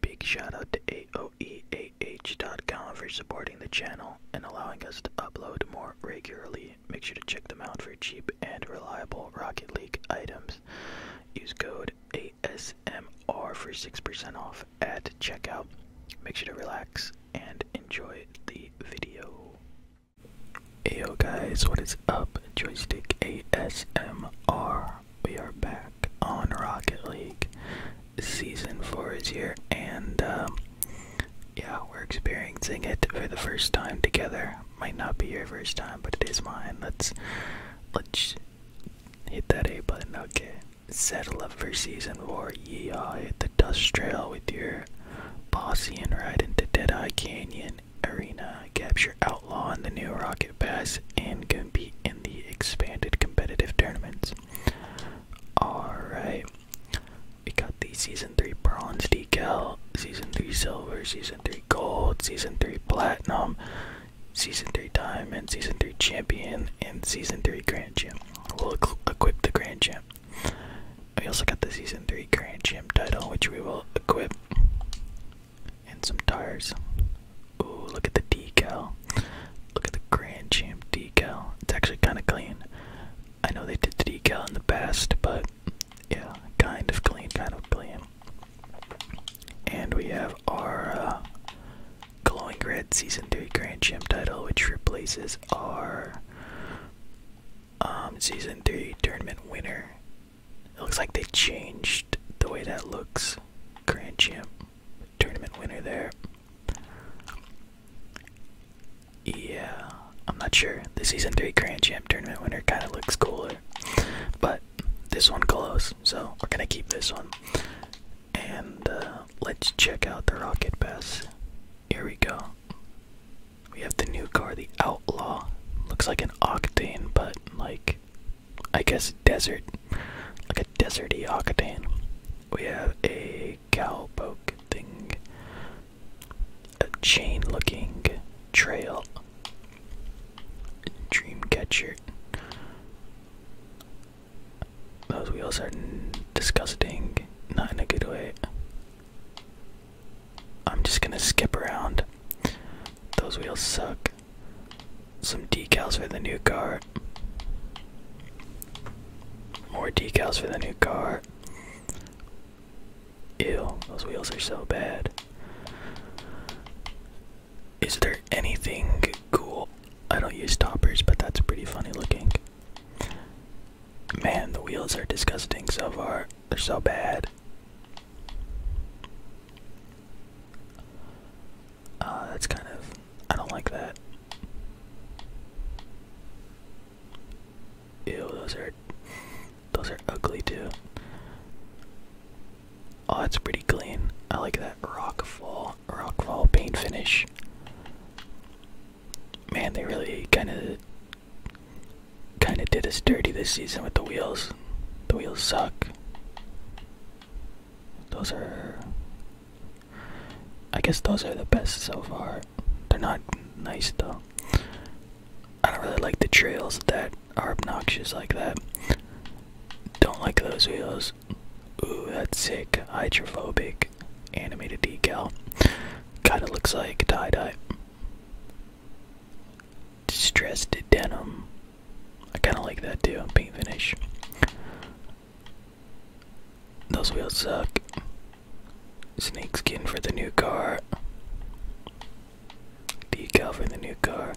Big shout out to AOEAH.com for supporting the channel and allowing us to upload more regularly. Make sure to check them out for cheap and reliable Rocket League items. Use code ASMR for 6% off at checkout. Make sure to relax and enjoy the video. Hey yo guys, what is up? Joystick ASMR we are back on Rocket League. Season four is here, and um, yeah, we're experiencing it for the first time together. Might not be your first time, but it is mine. Let's let's hit that A button. Okay, settle up for season four. Yeah, hit the dust trail with your bossy and ride into Deadeye Canyon Arena capture Outlaw in the new Rocket Pass, and compete in the expanded competitive tournaments. Alright. We got the Season 3 Bronze decal, Season 3 Silver, Season 3 Gold, Season 3 Platinum, Season 3 Diamond, Season 3 Champion, and Season 3 Grand Champ. We'll equip the Grand Champ. We also got the Season 3 Grand Champ title, which we will equip and some tires. Ooh, look at the decal. Look at the Grand Champ decal. It's actually kind of clean. I know they did the decal in the past, but yeah, kind of clean, kind of clean. And we have our uh, glowing red season three Grand Champ title, which replaces our um, season three tournament winner it looks like they changed the way that looks. Grand champ, tournament winner there. Yeah, I'm not sure. The season three grand champ tournament winner kind of looks cooler, but this one close, so we're gonna keep this one. And uh, let's check out the rocket pass. Here we go. We have the new car, the Outlaw. Looks like an Octane, but like I guess desert, like a deserty Octane. We have a cowpoke thing, a chain-looking trail, dreamcatcher. Those wheels are disgusting, not in a good way. I'm just gonna skip around. Those wheels suck. Some decals for the new car. More decals for the new car. Ew, those wheels are so bad. Is there anything cool? I don't use stoppers, but that's pretty funny looking. Man, the wheels are disgusting so far. They're so bad. Uh, that's kind of. I don't like that. Ew, those are. Those are ugly too. Oh, that's pretty clean. I like that rock wall paint finish. Man, they really kind of kind of did us dirty this season with the wheels. The wheels suck. Those are. I guess those are the best so far. They're not nice though. I don't really like the trails that are obnoxious like that. Don't like those wheels. Ooh, that's sick. Hydrophobic. Animated decal. Kinda looks like tie dye. Distressed denim. I kind of like that too. Paint finish. Those wheels suck. Snake skin for the new car. Decal for the new car.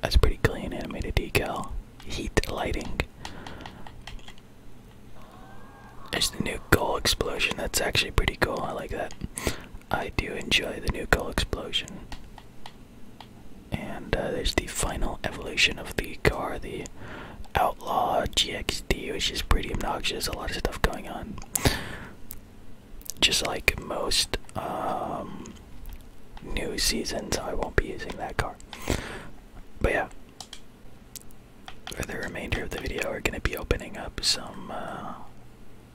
That's pretty clean animated decal. Heat lighting. There's the new goal explosion. That's actually pretty cool. I like that. I do enjoy the new goal explosion. And uh, there's the final evolution of the car, the Outlaw GXD, which is pretty obnoxious. A lot of stuff going on. Just like most um, new seasons, I won't be using that car. But yeah, for the remainder of the video, we're going to be opening up some uh,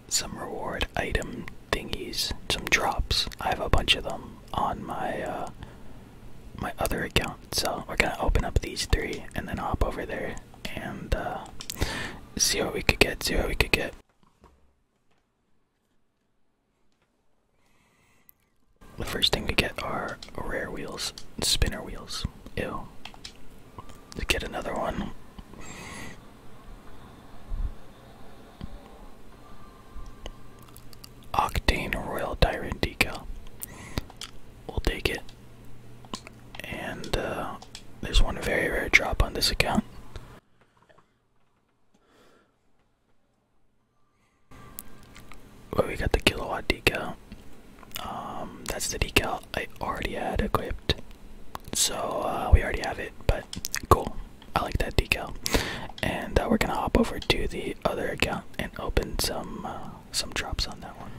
some reward item thingies, some drops. I have a bunch of them on my uh, my other account, so we're going to open up these three and then hop over there and uh, see what we could get. See what we could get. The first thing we get are rare wheels, spinner wheels. Ew. To get another one. Octane Royal Tyrant decal. We'll take it. And uh, there's one very rare drop on this account. Well, we got the kilowatt decal. Um, that's the decal I already had equipped. So, uh, we already have it, but cool. I like that decal. And uh, we're gonna hop over to the other account and open some uh, some drops on that one.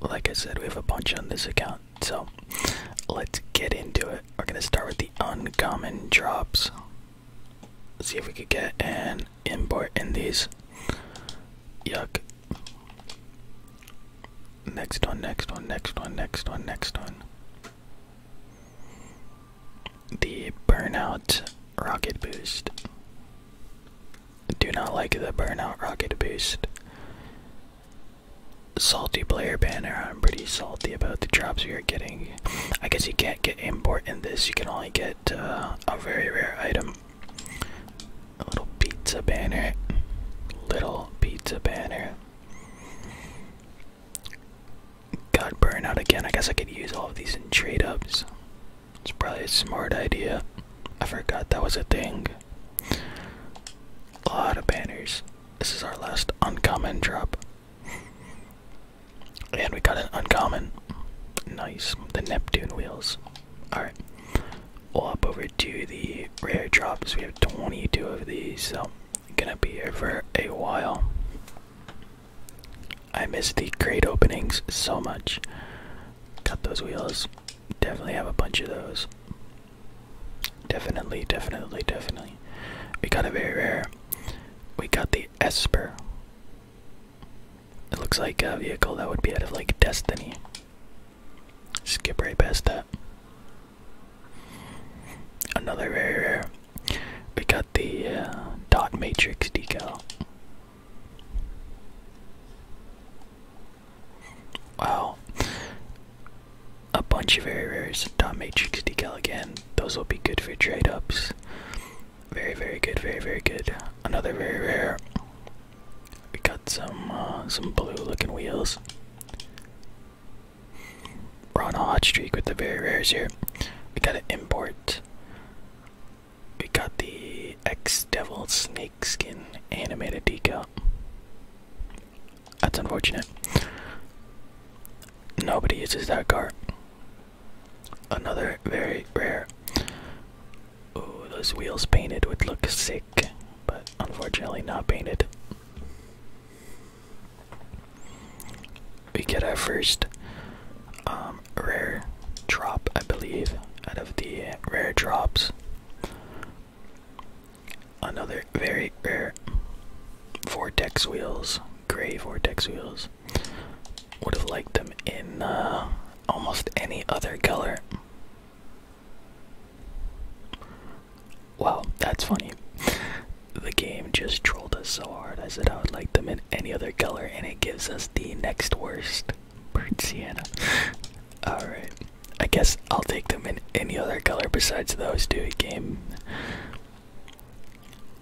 Like I said, we have a bunch on this account, so let's get into it. We're gonna start with the uncommon drops see if we could get an import in these. Yuck. Next one, next one, next one, next one, next one. The burnout rocket boost. Do not like the burnout rocket boost. Salty player banner. I'm pretty salty about the drops we are getting I guess you can't get import in this. You can only get uh, a very rare item. A little pizza banner. Little pizza banner. Got burnout again. I guess I could use all of these in trade ups. It's probably a smart idea. I forgot that was a thing. A lot of banners. This is our last uncommon drop. And we got an uncommon. Nice. The Neptune wheels. Alright. We'll hop over to the rare drops. We have 22 of these, so gonna be here for a while. I miss the great openings so much. Got those wheels. Definitely have a bunch of those. Definitely, definitely, definitely. We got a very rare. We got the Esper. It looks like a vehicle that would be out of like Destiny. Skip right past that. Another very rare. We got the uh, dot matrix decal. Wow. A bunch of very rares. Dot matrix decal again those will be good for trade ups. Very, very good, very, very good. Another very rare. We got some uh, some blue looking wheels. We're on a hot streak with the very rares here. We got an import. We got the X Devil Snake Skin animated decal. That's unfortunate. Nobody uses that car. Another very rare. Ooh, those wheels painted would look sick, but unfortunately not painted. We get our first um, rare drop, I believe, out of the rare drops. Another very rare vortex wheels, gray vortex wheels. Would have liked them in uh, almost any other color. Wow, that's funny. The game just trolled us so hard. I said I would like them in any other color, and it gives us the next worst burnt sienna. Alright. I guess I'll take them in any other color besides those two game.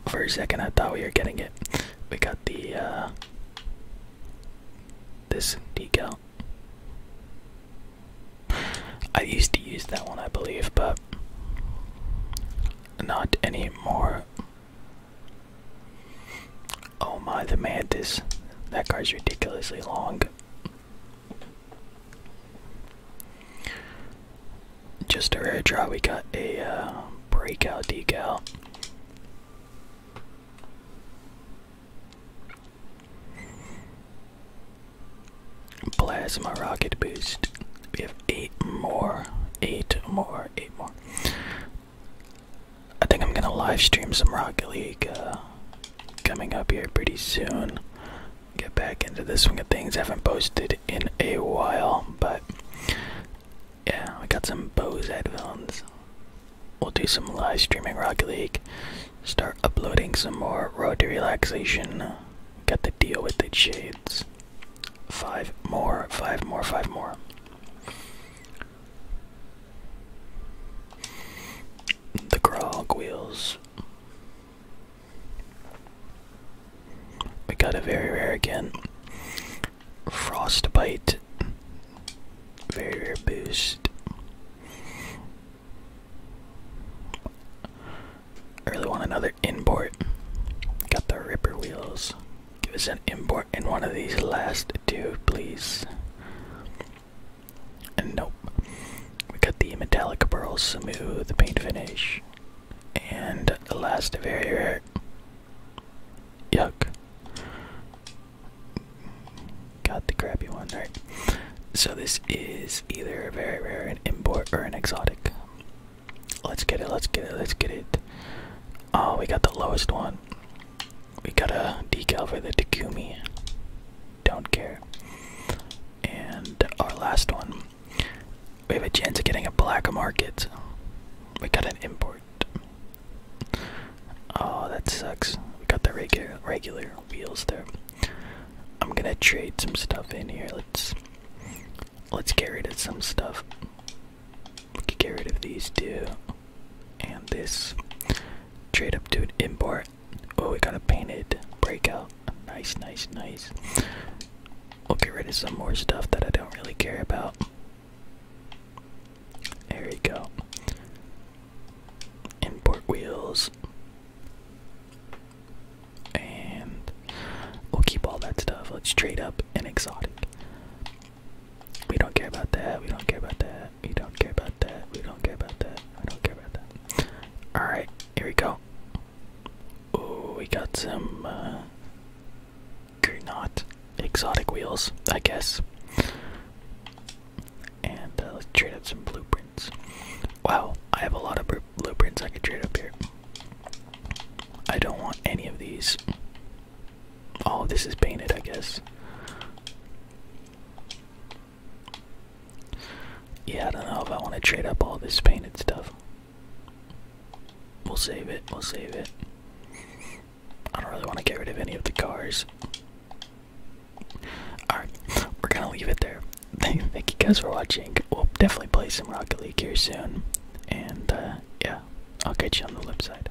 For a second, I thought we were getting it. We got the uh, this decal. I used to use that one, I believe, but not anymore. Oh my, the mantis. That card's ridiculously long. Just a air draw, we got a uh, breakout decal. Plasma rocket boost. We have eight more, eight more, eight more. I think I'm gonna live stream some Rocket League uh, coming up here pretty soon get back into the swing of things. I haven't posted in a while, but yeah, we got some Bose headphones. We'll do some live streaming rock League. Start uploading some more Road to Relaxation. Got the deal with the shades. Five more, five more, five more. The grog wheels. We got a very rare again. Frostbite. Very rare boost. I really want another import. Got the ripper wheels. Give us an import in one of these last two, please. And nope. We got the metallic pearl smooth paint finish. And the last very rare. Yuck. Got the crappy one, right? So this is either a very rare, an import, or an exotic. Let's get it, let's get it, let's get it. Oh, we got the lowest one. We got a decal for the Takumi don't care. And our last one. We have a chance of getting a black market. We got an import. Oh, that sucks. We got the regular regular wheels there. I'm gonna trade some stuff in here. Let's let's get rid of some stuff. get rid of these two and this. Trade up to an import Oh, we got a painted breakout. Nice, nice, nice. We'll get rid of some more stuff that I don't really care about. There we go. Import wheels. And we'll keep all that stuff. Let's trade up and exotic. We don't care about that. We don't care about that. We don't care about that. We don't care about that. I don't care about that. Alright, here we go. Oh, we got some uh not exotic wheels, I guess. And uh, let's trade up some blueprints. Wow, I have a lot of blueprints I could trade up here. I don't want any of these. All of this is painted, I guess. Yeah, I don't know if I want to trade up all this painted stuff. We'll save it, we'll save it. I don't really want to get rid of any of the cars. Alright, we're gonna leave it there. Thank you guys for watching. We'll definitely play some Rocket League here soon. And uh, yeah, I'll catch you on the flip side.